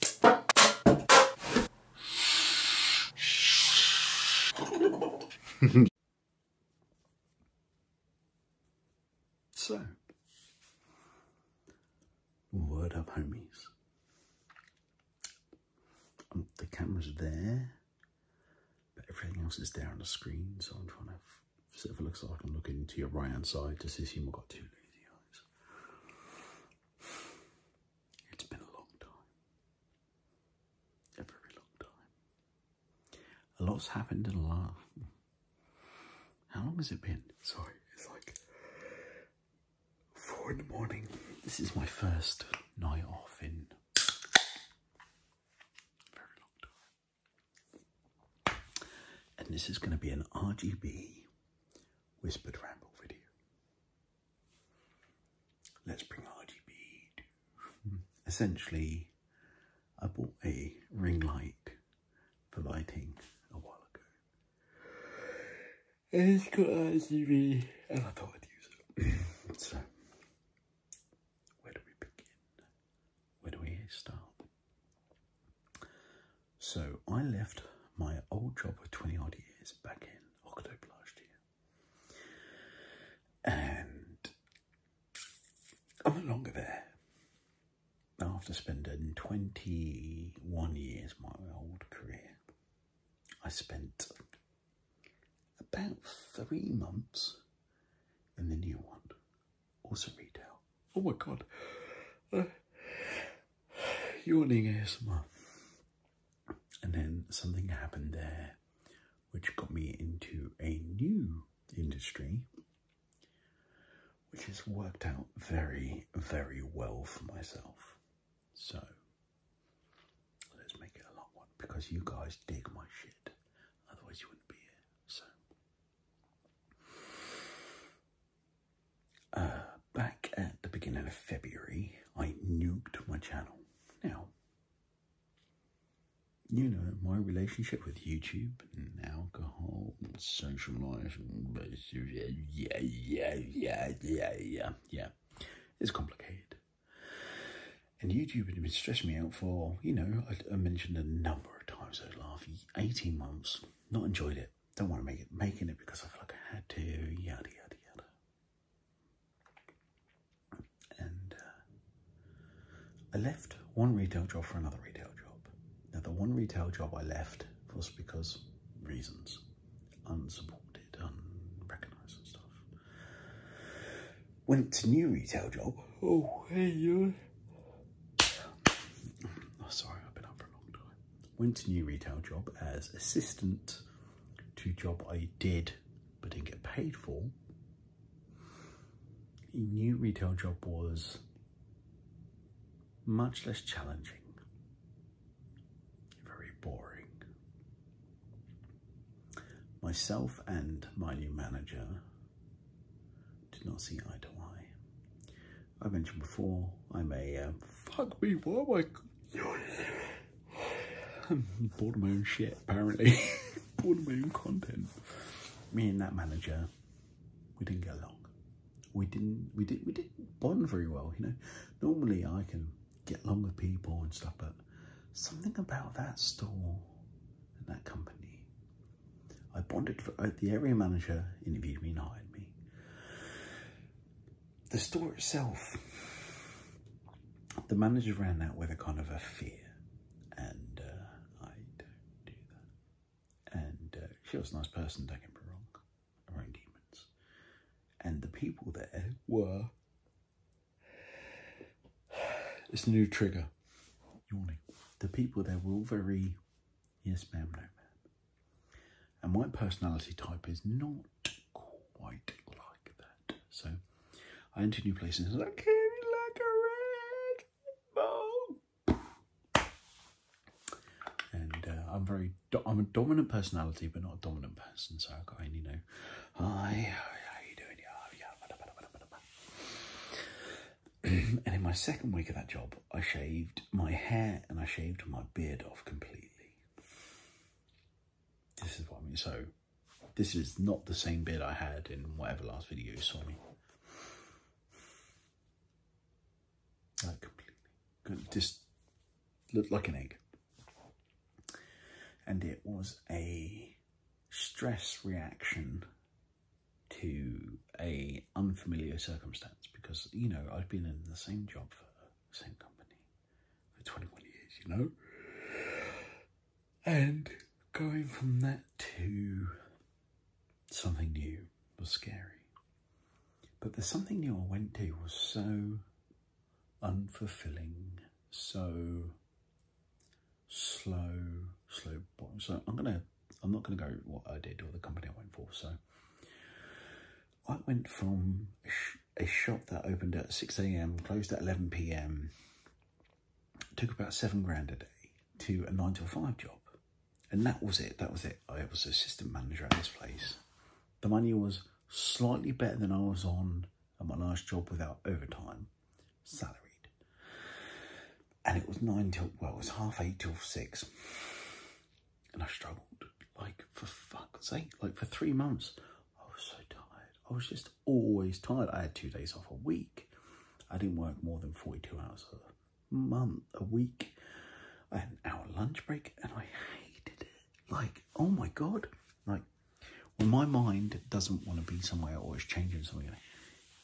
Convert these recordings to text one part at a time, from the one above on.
so, word up, homies. Um, the camera's there, but everything else is there on the screen, so I'm trying to see if it looks like I'm looking to your right hand side to see if you've got two lazy eyes. It's been a long time. A very long time. A lot's happened in a last. How long has it been? Sorry, it's like four in the morning. This is my first night off in very long time. And this is going to be an RGB whispered ramble video. Let's bring RGB. Essentially, I bought a ring light for lighting a while ago. And it's got RGB, and I thought I'd use it. so, where do we begin? Where do we start? So I left my old job of 20 odd years back in October last year. And I'm no longer there. After spending 21 years my old career, I spent about three months in the new one, also retail. Oh my god. Uh, yawning ASMR. And then something happened there which got me into a new industry which has worked out very, very well for myself. So let's make it a long one because you guys dig my shit. Otherwise you wouldn't be here. So uh, back at the beginning of February, I nuked my channel. Now, you know, my relationship with YouTube and alcohol and social life and yeah, yeah, yeah, yeah, yeah, yeah, it's complicated. And YouTube had been stressing me out for, you know, I, I mentioned a number of times over the last 18 months, not enjoyed it. Don't want to make it making it because I feel like I had to, yada yada yada. And uh, I left one retail job for another retail job. Now the one retail job I left was because reasons, unsupported, unrecognised and stuff. Went to new retail job. Oh hey you. Oh, sorry, I've been up for a long time went to new retail job as assistant to job I did but didn't get paid for. A new retail job was much less challenging, very boring. Myself and my new manager did not see eye to eye. I mentioned before, I'm a, uh, fuck me, what am I, I'm bored of my own shit, apparently. bored of my own content. Me and that manager, we didn't get along. We didn't, we did, we didn't bond very well, you know. Normally I can get along with people and stuff, but something about that store and that company, I bonded for, uh, the area manager interviewed me and hired me. The store itself, the manager ran out with a kind of a fear, and uh, I don't do that. And uh, she was a nice person, don't get me wrong, her own demons. And the people there were. It's new trigger. Yawning. The people there were all very Yes, ma'am, no, ma'am. And my personality type is not quite like that. So I enter a new place and says, I like a red And uh, I'm very, I'm a dominant personality, but not a dominant person. So I've got you know, hi, how you doing? and in my second week of that job, I shaved my hair and I shaved my beard off completely. This is what I mean. So, this is not the same beard I had in whatever last video you saw me. Like completely. Just looked like an egg. And it was a stress reaction to a unfamiliar circumstance because you know I've been in the same job for the same company for 21 years you know and going from that to something new was scary but the something new I went to was so unfulfilling so slow slow boy. so I'm gonna I'm not going to go what I did or the company I went for. So I went from a shop that opened at 6 a.m., closed at 11 p.m., took about seven grand a day to a nine to five job. And that was it. That was it. I was assistant manager at this place. The money was slightly better than I was on at my last job without overtime, salaried and it was nine till, well, it was half eight till six. And I struggled, like, for fuck's sake, like, for three months. I was so tired. I was just always tired. I had two days off a week. I didn't work more than 42 hours a month, a week. and our lunch break, and I hated it. Like, oh my God. Like, well my mind doesn't want to be somewhere or is changing somewhere.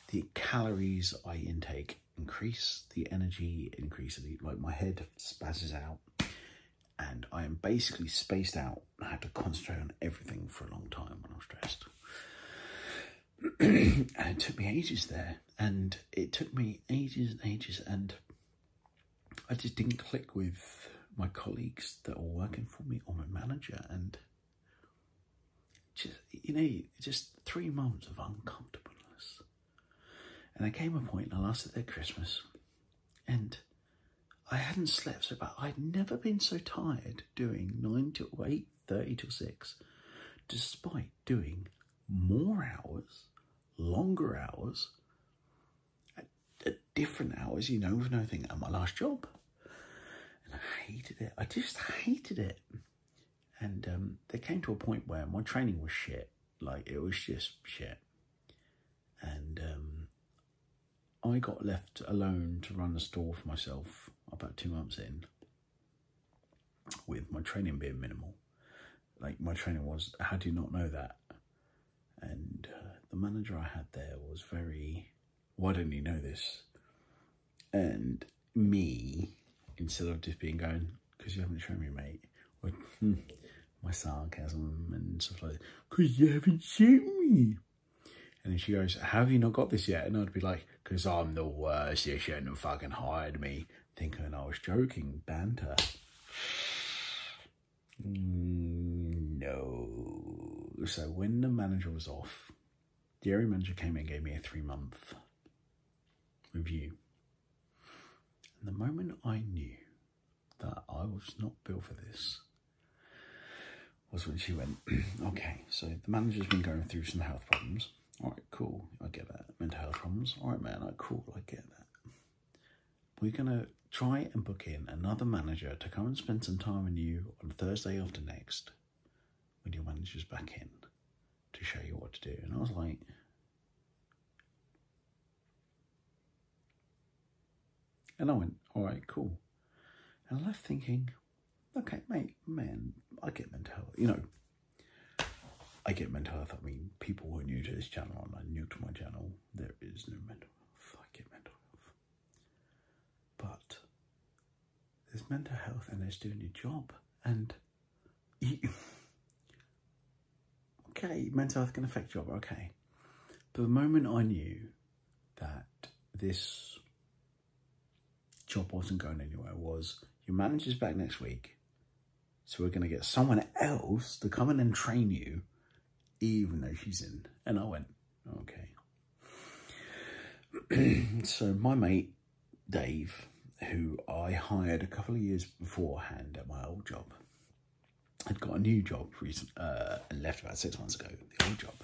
the calories I intake increase the energy, increase the, like my head spazzes out and I am basically spaced out. I had to concentrate on everything for a long time when I was stressed. and it took me ages there and it took me ages and ages and I just didn't click with my colleagues that were working for me or my manager and just, you know, just three months of uncomfortableness and I came a point I lasted their Christmas, and I hadn't slept so bad. I'd never been so tired doing 9 till 8, 30 till 6, despite doing more hours, longer hours, at different hours, you know, with nothing at my last job. And I hated it. I just hated it. And um, there came to a point where my training was shit. Like, it was just shit. And um, I got left alone to run the store for myself about two months in with my training being minimal. Like, my training was, how do you not know that? And uh, the manager I had there was very, why don't you know this? and me instead of just being going because you haven't shown me mate hmm, my sarcasm and stuff like because you haven't seen me and then she goes have you not got this yet and i'd be like because i'm the worst you shouldn't have fucking hired me thinking i was joking banter mm, no so when the manager was off the area manager came in and gave me a three month review. the moment I knew that I was not built for this was when she went, okay, so the manager's been going through some health problems. All right, cool, I get that. Mental health problems. All right, man, I cool, I get that. We're going to try and book in another manager to come and spend some time with you on Thursday after next when your manager's back in to show you what to do. And I was like, and I went, all right, cool. And I left thinking, okay, mate, man, I get mental health, you know. I get mental health. I mean, people who are new to this channel and are new to my channel, there is no mental health. I get mental health. But there's mental health and there's doing your job. And okay, mental health can affect your job, okay. But the moment I knew that this job wasn't going anywhere was your manager's back next week. So we're going to get someone else to come in and train you, even though she's in. And I went, okay. so my mate Dave, who I hired a couple of years beforehand at my old job, had got a new job recently uh, and left about six months ago, the old job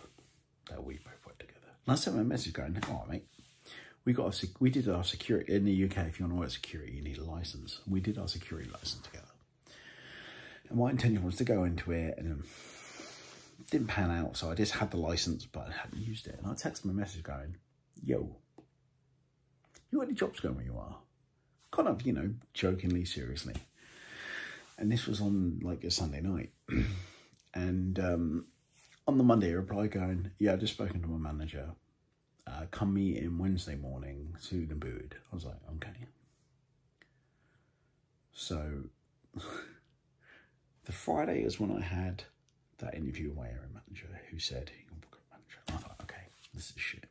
that we both worked together. And I sent message going, all right, mate, we got we did our security, in the UK, if you want to work security, you need a license. We did our security license together. And my intention was to go into it and um, didn't pan out, so I just had the license, but I hadn't used it. And I texted my message going, yo, you got any jobs going where you are? Kind of, you know, jokingly, seriously. And this was on like a Sunday night. and um, on the Monday, I replied going, yeah, I just spoken to my manager. Uh, come meet in Wednesday morning to the boot. I was like, okay. So The Friday is when I had that interview with my manager who said, you're a manager. I thought, okay, this is shit.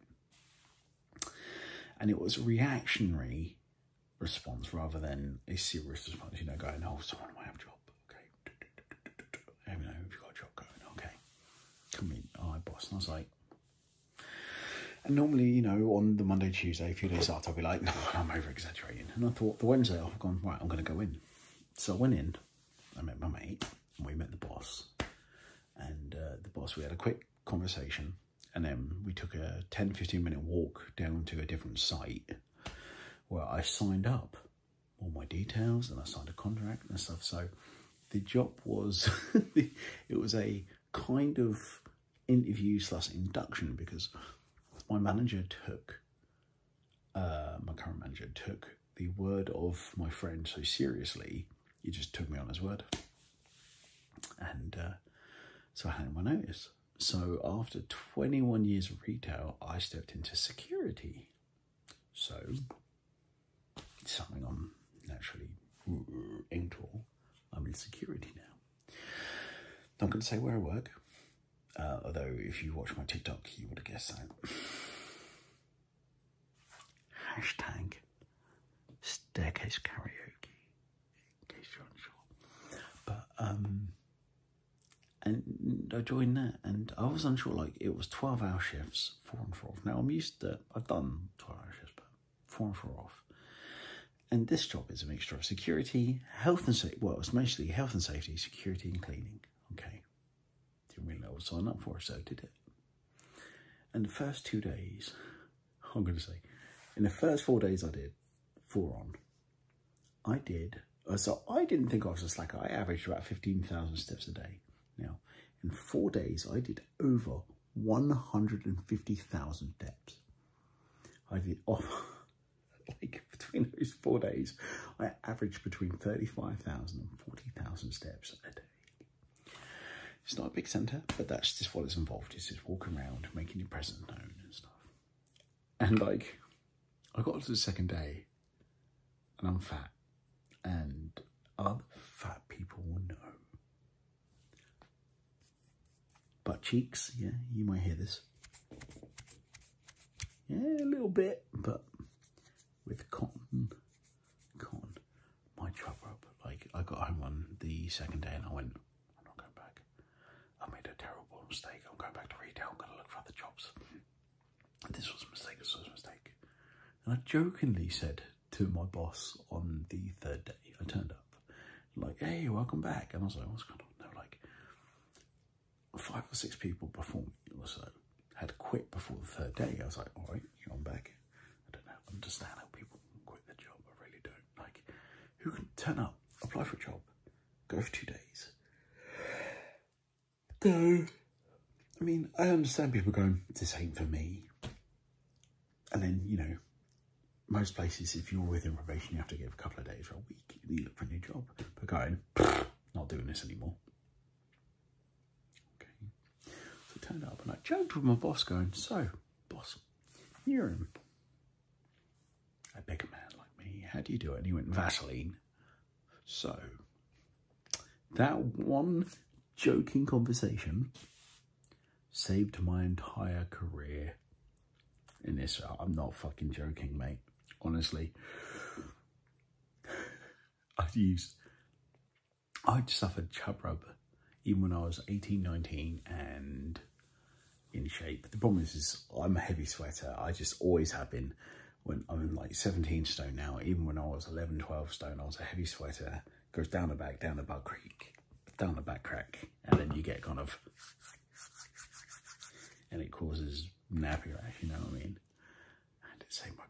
And it was a reactionary response rather than a serious response, you know, going, oh, someone might have a job, okay. Let know if you got a job going, okay. Come in, all right, boss. And I was like, and normally, you know, on the Monday, Tuesday, a few days after, I'll be like, no, I'm over exaggerating. And I thought the Wednesday, I've gone, right, I'm going to go in so I went in, I met my mate, and we met the boss. And uh, the boss, we had a quick conversation. And then we took a 10, 15 minute walk down to a different site where I signed up all my details and I signed a contract and stuff. So the job was, it was a kind of interview slash induction because my manager took uh, my current manager took the word of my friend so seriously, he just took me on his word. And uh, so I had my notice. So after 21 years of retail, I stepped into security. So something I'm naturally mm, into. I'm in security now. i Not going to say where I work, uh, although, if you watch my TikTok, you would have guessed that. Hashtag staircase karaoke, in case you're unsure. But, um, and I joined that, and I was unsure, like, it was 12 hour shifts, four and four off. Now, I'm used to, I've done 12 hour but four and four off. And this job is a mixture of security health and safety. Well, it's mostly health and safety, security and cleaning. Okay. do you really know what on that for, so did it. And the first two days, I'm going to say, in the first four days I did, four on, I did, uh, so I didn't think I was a slacker. I averaged about 15,000 steps a day. Now, in four days, I did over 150,000 steps. I did off. Oh, like between those four days, I averaged between 35,000 and 40,000 steps a day. It's not a big centre, but that's just what it's involved. Is just walking around, making your presence known and stuff. And like, I got to the second day and I'm fat and other fat people will know. Butt cheeks, yeah, you might hear this. Yeah, a little bit, but with cotton, cotton. My job rope, like I got home on the second day and I went, I'm not going back. I made a terrible mistake. I'm going back to retail. I'm going to look for other jobs. This was a mistake. This was a mistake. And I jokingly said to my boss on the third day, I turned up like, hey, welcome back. And I was like, what's going on? They like, five or six people before me or so had quit before the third day. I was like, all right, you know, I'm back. I don't know, understand how people can quit the job. I really don't. Like, who can turn up, apply for a job, go for two days, go. I mean, I understand people going, this ain't for me. And then, you know, most places, if you're with probation, you have to give a couple of days or a week Looking for a new job, but going, not doing this anymore. Okay. So turned up and I joked with my boss going, so boss, you're in a big man like me. How do you do it? And he went, Vaseline. So that one joking conversation saved my entire career in this. I'm not fucking joking, mate. Honestly. I used, I'd suffered chub rub even when I was 18, 19 and in shape. The problem is, is I'm a heavy sweater. I just always have been when I'm like 17 stone now. Even when I was 11, 12 stone, I was a heavy sweater. Goes down the back, down the butt creek, down the back crack. And then you get kind of and it causes nappy rash, you know what I mean? And it saved my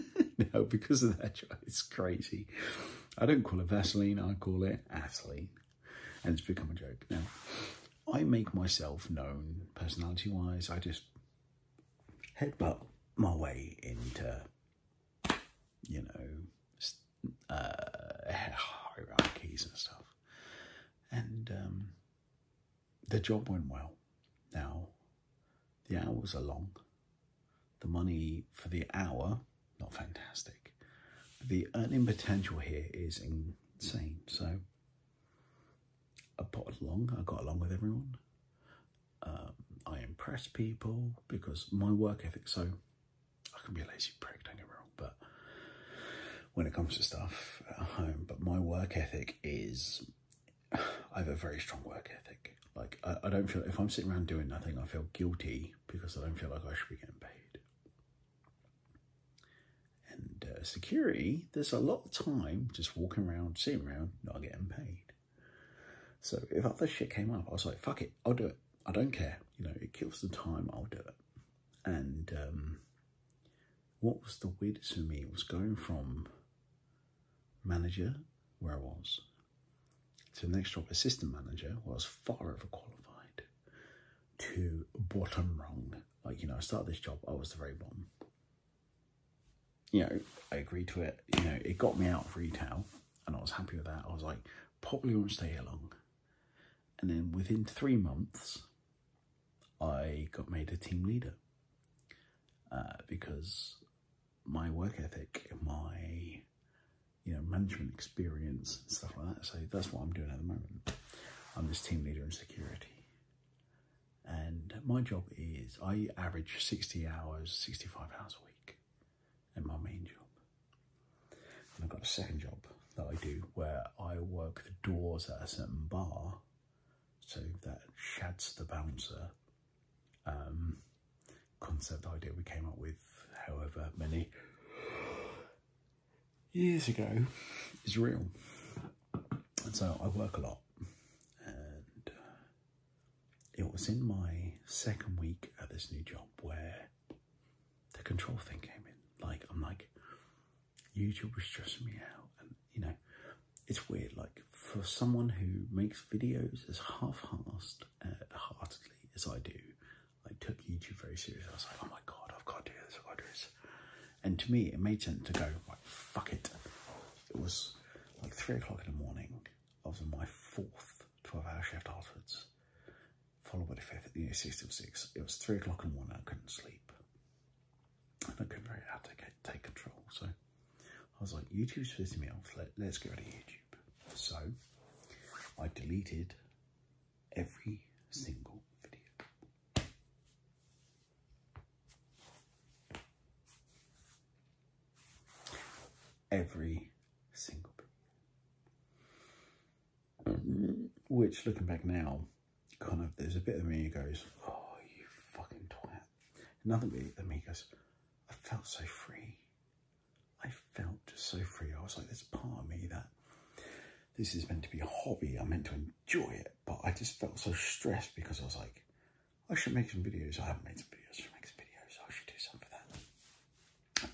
career. no, because of that, it's crazy. I don't call it Vaseline, I call it Atheline. And it's become a joke. Now, I make myself known personality-wise. I just headbutt my way into, you know, uh, hierarchies and stuff. And um, the job went well. Now, the hours are long. The money for the hour, not fantastic. The earning potential here is insane. So I got along. I got along with everyone. Um, I impressed people because my work ethic. So I can be a lazy prick, don't get me wrong, but when it comes to stuff at home. But my work ethic is, I have a very strong work ethic. Like I, don't feel, if I'm sitting around doing nothing, I feel guilty because I don't feel like I should be getting paid. And uh, security, there's a lot of time just walking around, sitting around, not getting paid. So if other shit came up, I was like, fuck it, I'll do it. I don't care. You know, it kills the time, I'll do it. And um, what was the weirdest to me was going from manager, where I was, to next job, assistant manager, where I was far over qualified, to bottom rung. Like, you know, I started this job, I was the very bottom. You know, I agreed to it. You know, it got me out of retail and I was happy with that. I was like, probably won't stay here long. And then within three months, I got made a team leader uh, because my work ethic, my you know management experience and stuff like that. So that's what I'm doing at the moment. I'm this team leader in security. And my job is I average 60 hours, 65 hours a week in my main job. I've got a second job that I do where I work the doors at a certain bar, so that Shad's the bouncer um, concept idea we came up with, however many years ago, is real. And so I work a lot, and uh, it was in my second week at this new job where the control thing came in. Like, I'm like, YouTube was stressing me out. And, you know, it's weird. Like, for someone who makes videos as half-heartedly uh, as I do, I took YouTube very seriously. I was like, oh my God, I've got to do this, I've got to do this. And to me, it made sense to go, like, fuck it. It was like three o'clock in the morning. I was on my fourth 12 hour shift afterwards followed by the fifth, the know, six till six. It was three o'clock in the morning, I couldn't sleep. I couldn't really have to take control. So I was like, YouTube's pissing me off, Let, us get rid of YouTube. So I deleted every single video. Every single video. Mm-hmm. Which, looking back now, kind of, there's a bit of me who goes, oh, you fucking twat. Another bit of me goes, I felt so free. I felt so free. I was like, there's part of me that this is meant to be a hobby. I'm meant to enjoy it. But I just felt so stressed because I was like, I should make some videos. I haven't made some videos. I should make some videos. I should do something for that.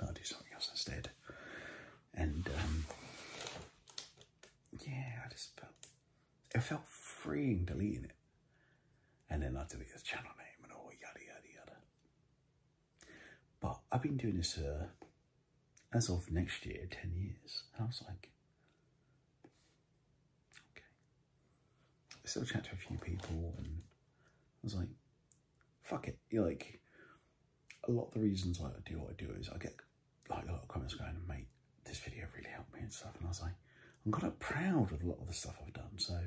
I'll do something else instead. And um, yeah, I just felt it felt freeing deleting it. And then I delete the channel name and all yada yada yada. But I've been doing this uh, as of next year, 10 years. And I was like, okay. I still chat to a few people and I was like, fuck it. You're like, a lot of the reasons I do what I do is I get like a lot of comments going, mate, this video really helped me and stuff. And I was like, I'm kind of proud of a lot of the stuff I've done. So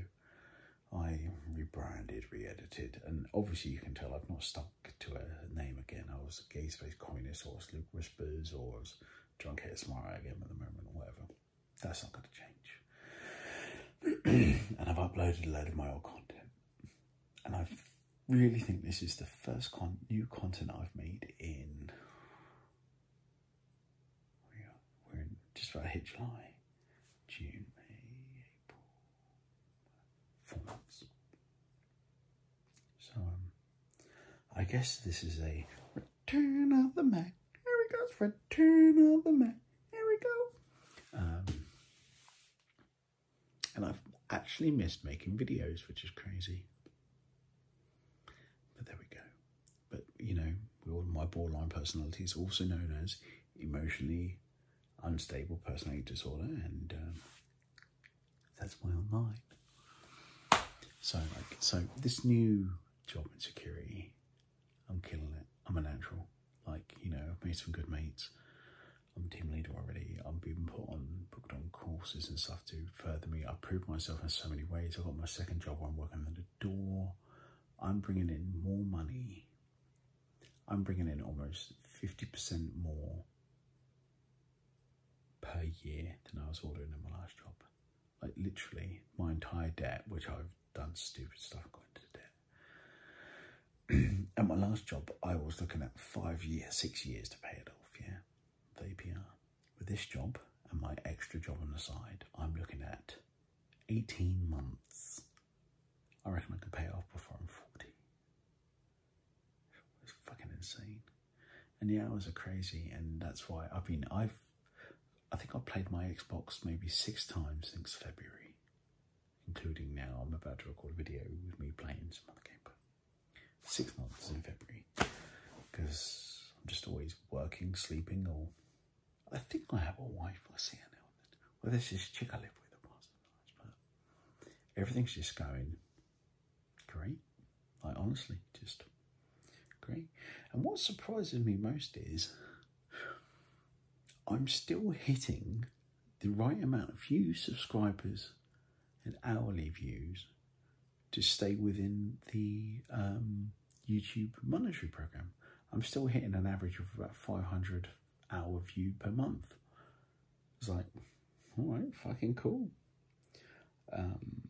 I rebranded, re-edited, and obviously you can tell I've not stuck to a name again. I was Gay Space Communist, or I was Luke Whispers, or I was Drunk Hit Smart again at the moment, or whatever. That's not going to change. and I've uploaded a load of my old content and I really think this is the first new content I've made in, we're in just about hit July, June, May, April, four months. So um, I guess this is a return of the Mac. Here we go, return of the Mac. Here we go. Um, and I've actually missed making videos, which is crazy. But there we go. But, you know, my borderline personality is also known as emotionally unstable personality disorder. And um, that's my online. So, like, so this new job in security, I'm killing it. I'm a natural. Like, you know, I've made some good mates. I'm team leader already. I'm being put on booked on courses and stuff to further me. I've proved myself in so many ways. I've got my second job I'm working at a door. I'm bringing in more money. I'm bringing in almost 50% more per year than I was ordering in my last job. Like literally my entire debt, which I've done stupid stuff, going to debt. at my last job, I was looking at five years, six years to pay it off, yeah, the APR. With this job and my extra job on the side, I'm looking at 18 months. I reckon I could pay off before I'm 40. It's fucking insane. And the hours are crazy, and that's why I've been, I've, I think I've played my Xbox maybe six times since February including now I'm about to record a video with me playing some other game. six months in February because I'm just always working, sleeping, or I think I have a wife. I see her now Well, this is chick I live with the past but everything's just going great. Like honestly, just great. And what surprises me most is I'm still hitting the right amount of views, subscribers, and hourly views to stay within the um, YouTube monetary program. I'm still hitting an average of about 500 hour view per month. It's like, all right, fucking cool. Um,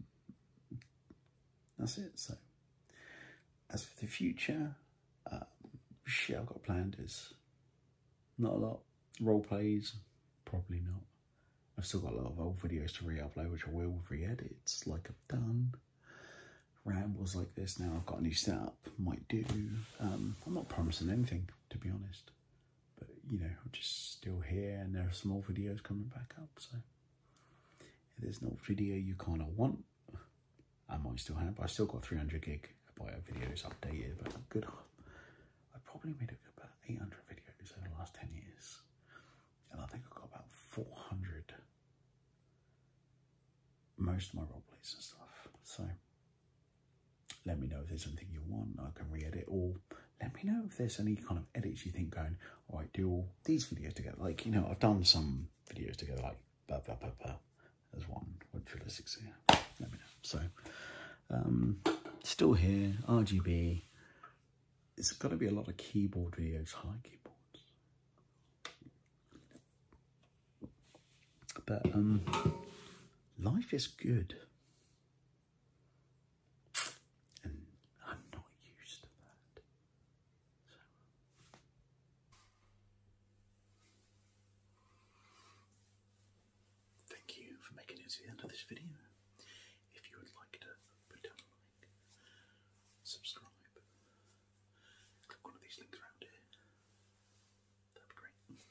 that's it. So, as for the future, uh, shit I've got planned is not a lot. Role plays, probably not. I've still got a lot of old videos to re-upload, which I will re-edit, like I've done. Rambles like this now, I've got a new setup, might do. Um, I'm not promising anything, to be honest. But, you know, I'm just still here, and there are some old videos coming back up, so... If there's no video you kind of want, I might still have, but i still got 300 gig of videos updated, but I'm good. I probably made about 800 videos in the last 10 years. And I think I've got about 400, most of my roll plays and stuff. So let me know if there's anything you want, I can re-edit, or let me know if there's any kind of edits you think going, all right, do all these videos together. Like, you know, I've done some videos together, like, blah, blah, blah, blah as one. What should I six Let me know. So, um, still here, RGB. It's got to be a lot of keyboard videos, high keyboards. But um, life is good. And I'm not used to that. Thank you for making it to the end of this video. If you would like to put down a like, subscribe, click one of these links around here. That'd be great.